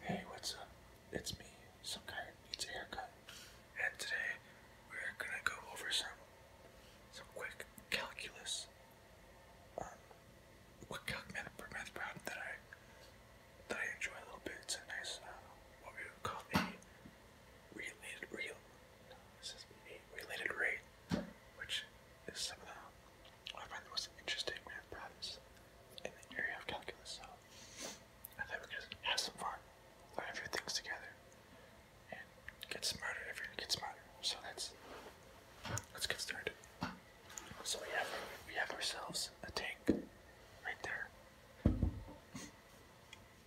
Hey, what's up? It's me, some guy needs a haircut. And today we're gonna go over some some quick calculus. Um quick calc math, math that I that I enjoy a little bit. It's nice uh, what we would call a related real this is a related rate, which is somehow I find the most interesting math problems in the area of calculus, so I think we could have some fun, learn a few things together, and get smarter if you're gonna get smarter. So that's let's get started. So we have we have ourselves a tank right there.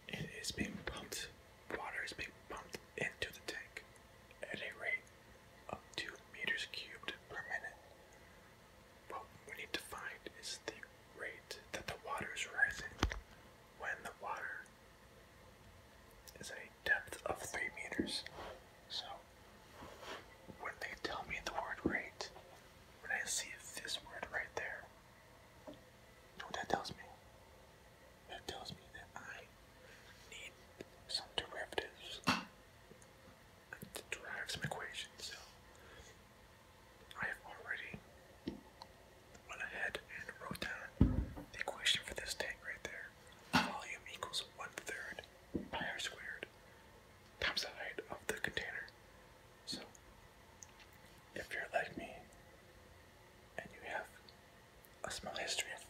It is being pumped. Water is being pumped into the tank at a rate of 2 meters cubed per minute. What we need to find is the rate that the water is rising when the water is at a depth of 3 meters. So, when they tell me the word rate, when I see this word right there, what that tells me? That tells me that I need some derivatives to derive some equations. So I have already went ahead and wrote down the equation for this tank right there. Volume equals one third pi r squared times the height of the container. So if you're like me and you have a small history of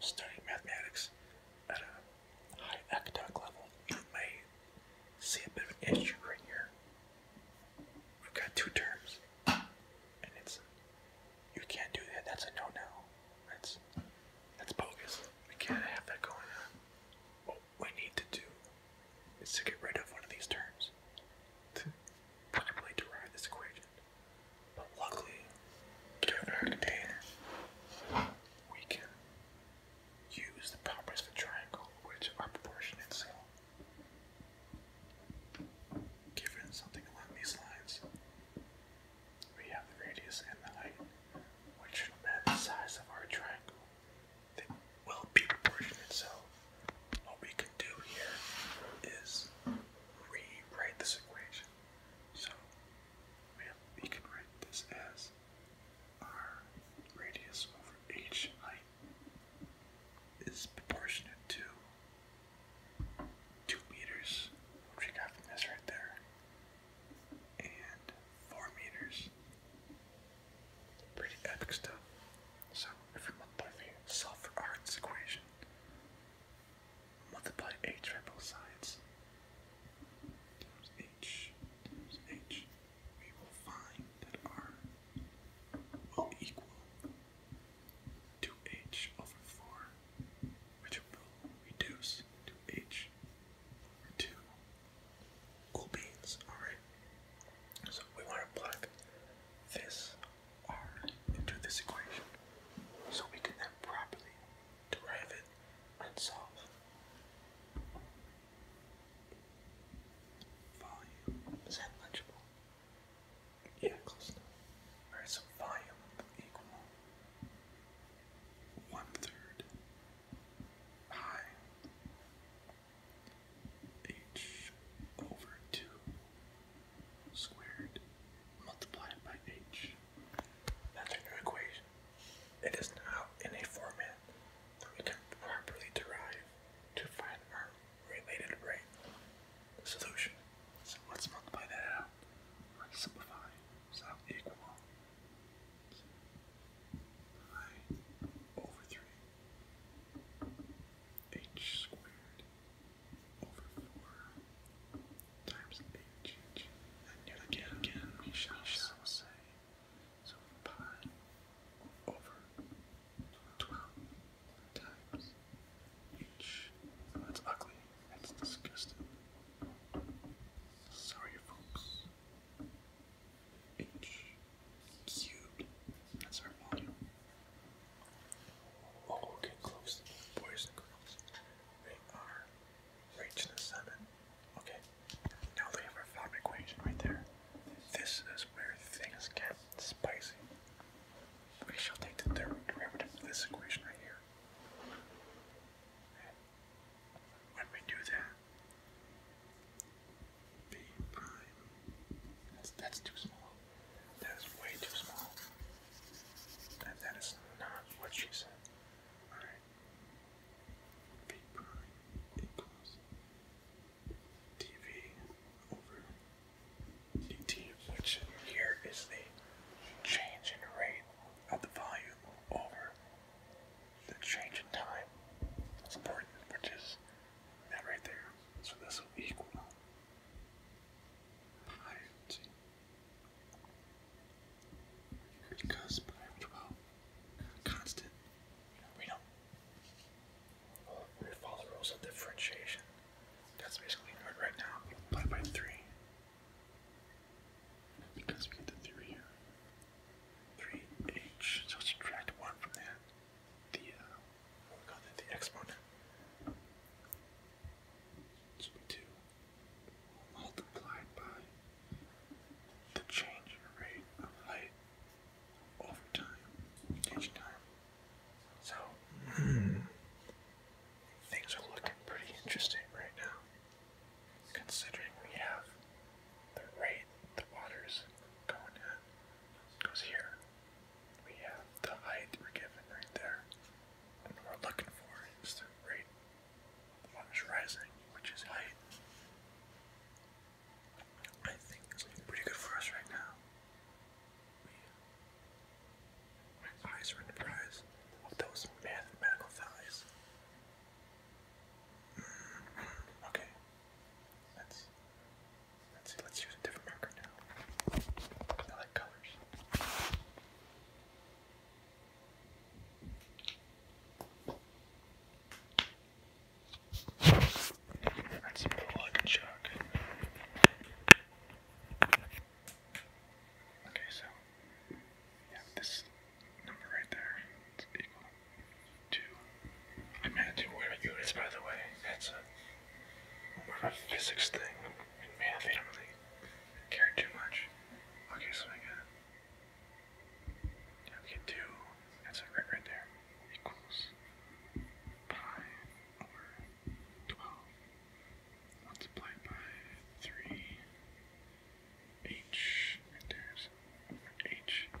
studying mathematics at a high academic level, you may see a bit of an issue right here. We've got two terms, and it's you can't do that. That's a no-no. That's that's bogus. We can't have that going on. What we need to do is to get rid of one of these terms to properly derive this equation. But luckily, during our container, we can use the properties of a triangle which are proportionate, so given something along these lines, we have the radius and the height, which no matter the size of our triangle, they will be proportionate. So what we can do here is rewrite this equation. So have, you can write this as r radius over h height is proportionate to 2 meters, which we got from this right there, and 4 meters. Pretty epic stuff. So, if we multiply the sulfur arts equation, multiply a triple sides times h times h, we will find that r will equal 2h over 4, which will reduce to h over 2 cool beans, alright? So we want to plug this r into this equation so we can then properly derive it, and solve. Volume. Is that legible? Yeah, Alright, so volume equal one third pi h over two squared multiplied by h Another new equation. It is now in a format that we can properly derive to find our related rate. Solution. So let's multiply that out. Let's simplify. So equal pi over 3 h squared over four times h. And yet again, we shall, say, so pi over 12 times h. that's ugly. That's disgusting. Sorry, folks. h cubed. That's our volume. Oh, All get close, boys and girls. They are reaching the summit. Okay, now they have our found equation right there. This is where things get spicy. We shall take the third derivative of this equation right here. when we do that, b prime, that's, that's too small. That is way too small. And that is not what she said. Alright. P prime equals dv over dt, which here is the change in rate of the volume over the change in time. That's important, which is that right there. So this will equal hide and seek. You well. Constant. You know, we follow the rules of differentiation. That's basically nerd right now. We by three. Because we get the three here. Three H. So subtract one from that. The uh, we call that the exponent. 2 multiplied by the change in rate of height over time, each time. So, things are looking pretty interesting right now, considering we have the rate the water's going at. goes here, we have the height we're given right there. And we're looking for is the rate of the rising, which is height. I think it's pretty good for us right now. my eyes are in the prize of those mathematical values. Mm-hmm. Okay, let's Let's see, let's use a different marker now. I like colors. That's some blood chalk. Okay, so yeah, this number right there is equal to. I'm not too worried by the way. That's a what about physics thing and math? They don't really care too much. Okay, so I got. we can do. That's like right, right there. Equals pi over 12 multiplied by 3. H, there's H. 3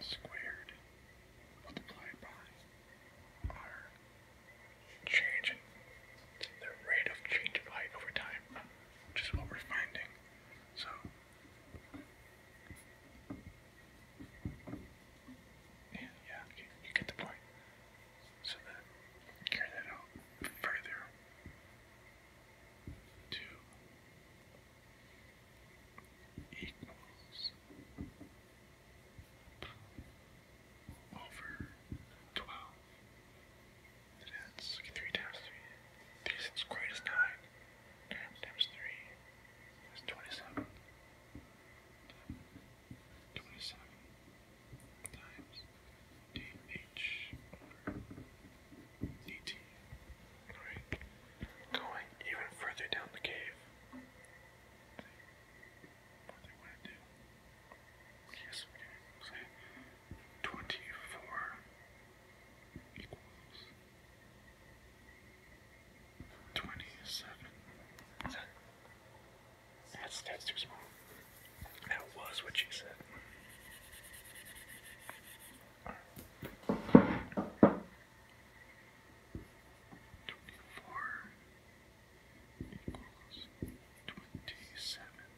squared multiplied by our change in the rate of change of over time, which is what we're finding. So yeah, yeah, you, get the point. So then carry that out further to equals over 12. that's 3 times 3. 3 is squared is 9. times 3 is 27. 27 times dh over 18 going even further down the cave. Yes, we can 24 equals 27. that's, too small. That was what she said. Twenty-four equals twenty-seven.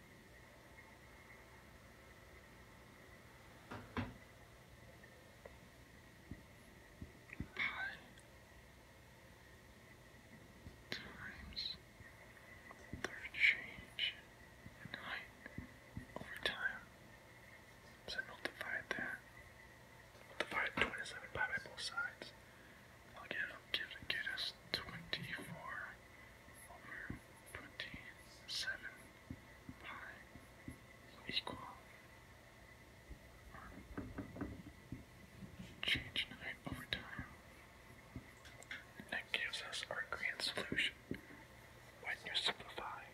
Pi times their change in height over time so multiply that. Multiply 27 by both sides. I'll get, I'll get, get us 24 over 27 pi equal. Change in over time. That gives us our grand solution when you simplify.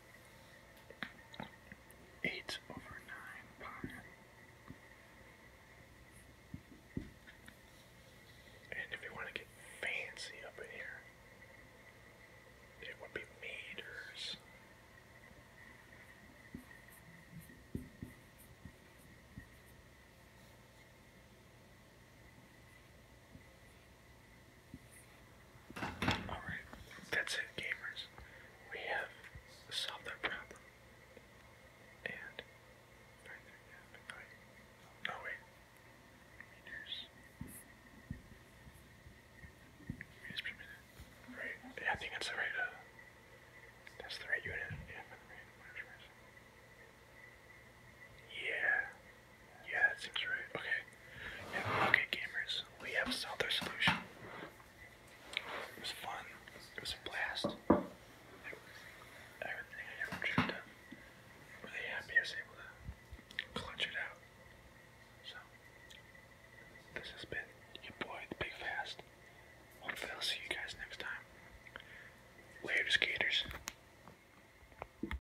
8 over 9 pi. And if you want to get fancy up in here, it would be meters. Alright, that's it, gamers. We have solved our problem. And. Right there, yeah, oh, wait. Meters. Meters per minute. Right. Yeah, I think that's the right, uh, That's the right unit. Yeah, Yeah. Yeah, that seems right. Okay. okay, gamers. We have solved our solution. It was fun. It was a blast. everything I ever dreamed of. really happy I was able to clutch it out. So, this has been your boy, the Big Fast. Hopefully, I'll see you guys next time. Later, skaters.